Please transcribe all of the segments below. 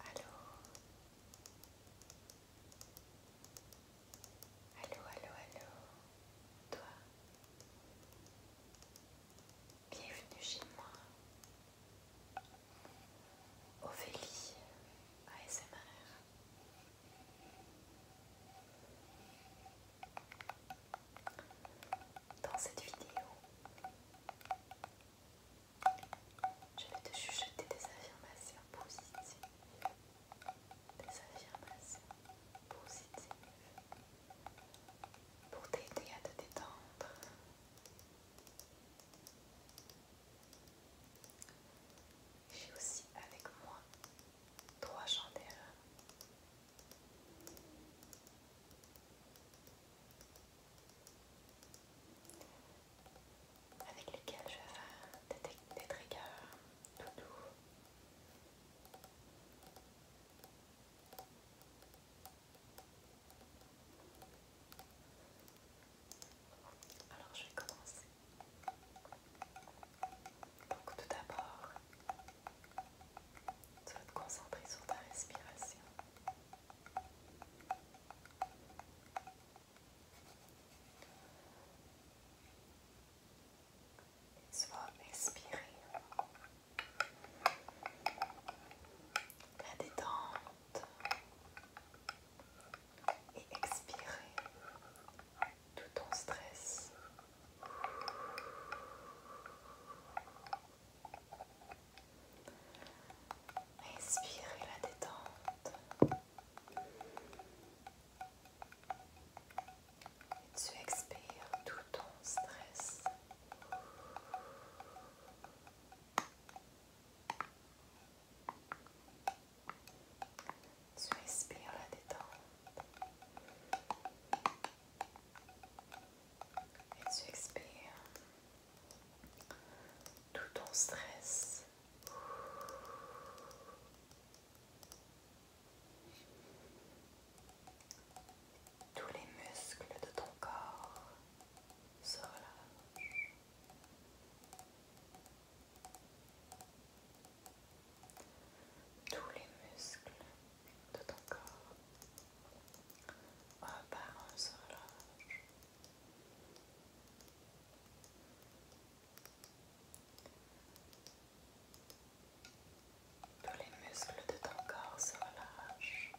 Allô Allô, allô, allô Toi Bienvenue chez moi Ophélie ASMR Dans cette vidéo, je vais te chuchoter des affirmations positives. Des affirmations positives. Pour t'aider à te détendre. J'ai aussi avec moi trois chandelles avec lesquels je vais faire des, des triggers tout doux. Alors je vais commencer. Donc tout d'abord, tu te concentrer sur ta respiration. Soit expirer. la détente et expirer tout ton stress. Inspirez la détente. Et tu expires tout ton stress. Tu expires la détente. Et tu expires tout ton stress. Tous les muscles de ton corps tous les muscles de ton corps un par se relâchent. Tous les muscles de ton corps se relâchent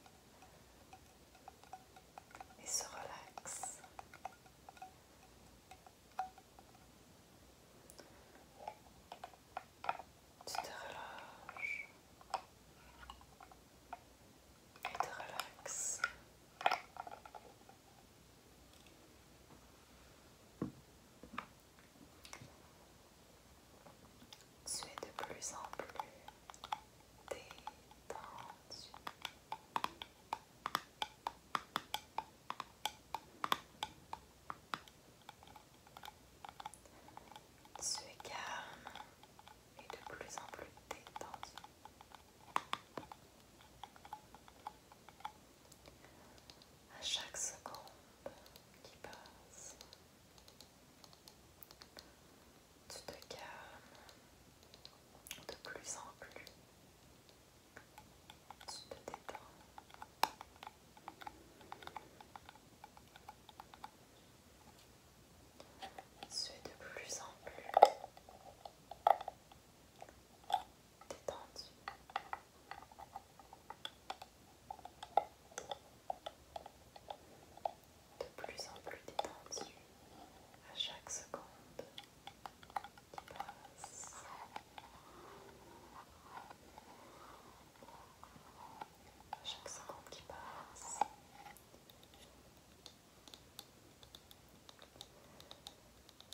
et se relaxent tu te relâches et te relaxes. Tu es de plus en plus détendu es calme et de plus en plus détendu. À chaque seconde qui passe, tu te calmes de plus en plus tu te de plus en plus détendu. De plus en plus détendu à chaque seconde. Chaque seconde qui passe.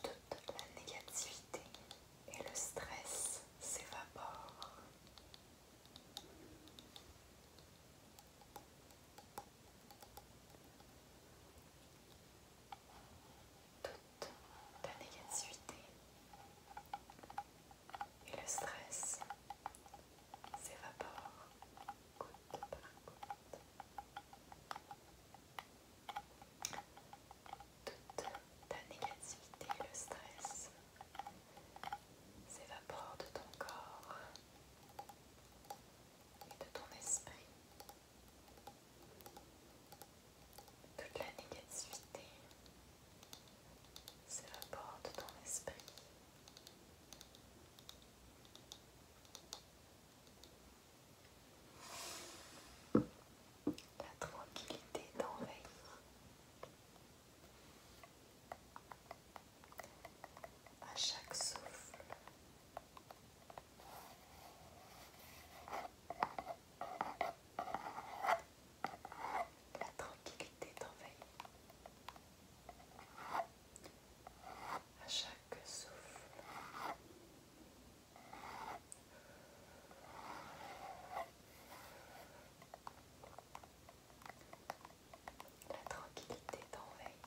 Toute la négativité et le stress s'évaporent toute ta négativité et le stress s'évapore goutte par goutte. Toute ta négativité et le stress s'évapore de ton corps de ton esprit. Toute la négativité c'est porte de ton esprit. La tranquillité d'envahir à chaque souffle. La tranquillité t'envahit. À chaque souffle. La tranquillité t'envahit.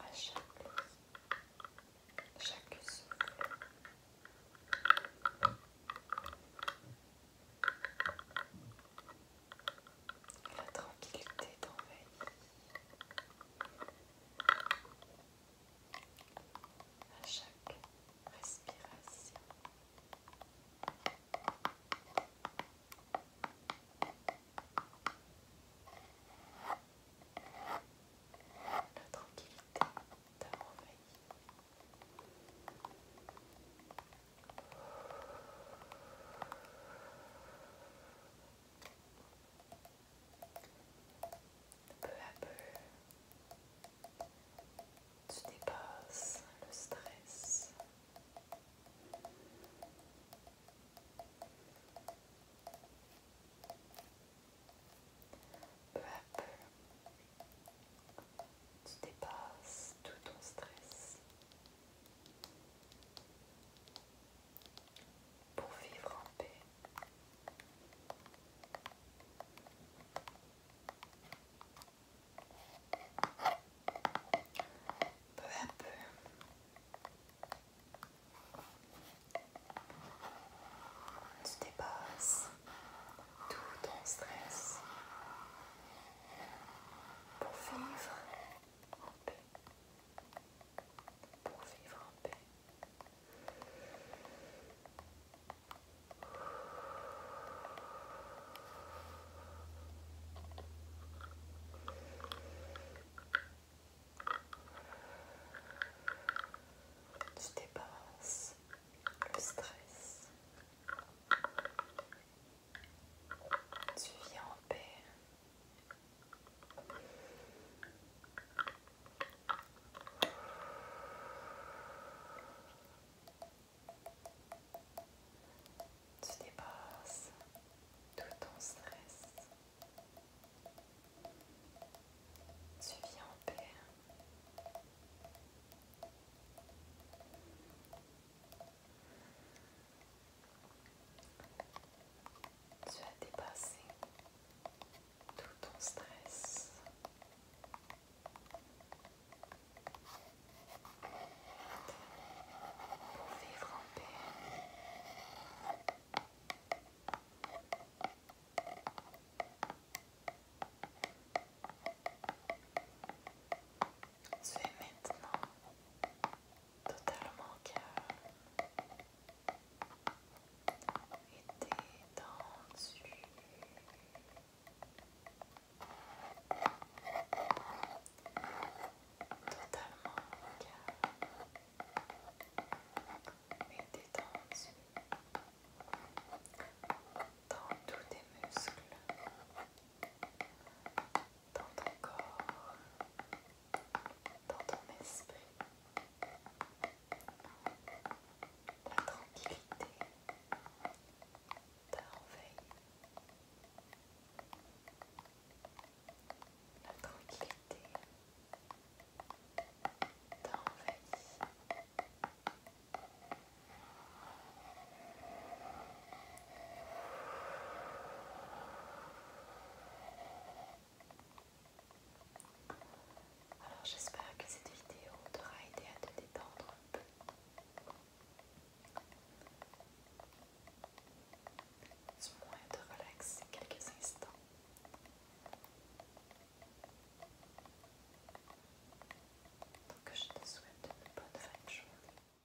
À chaque chaque souffle. La tranquillité t'envahit à chaque respiration. La tranquillité t'a envahi. Peu à peu, tu dépasses le stress. Peu à peu, tu dépasses tout ton stress pour vivre en paix. Peu à peu. Tu dépasses tout ton stress pour vivre en paix. Pour vivre en paix. Tu dépasses le stress. Tu viens en paix tu dépasses tout ton stress. Tu viens en paix. Tu as dépassé tout ton stress. Pour vivre en paix. Tu es maintenant totalement calme et dessus, Totalement calme et détendu dans tous tes muscles, dans ton corps, dans ton esprit, la tranquillité, ta la tranquillité, alors j'espère que cette vidéo t'aura aidé à te détendre un peu. Tu moins te relaxer quelques instants. Donc je te souhaite une bonne fin de journée.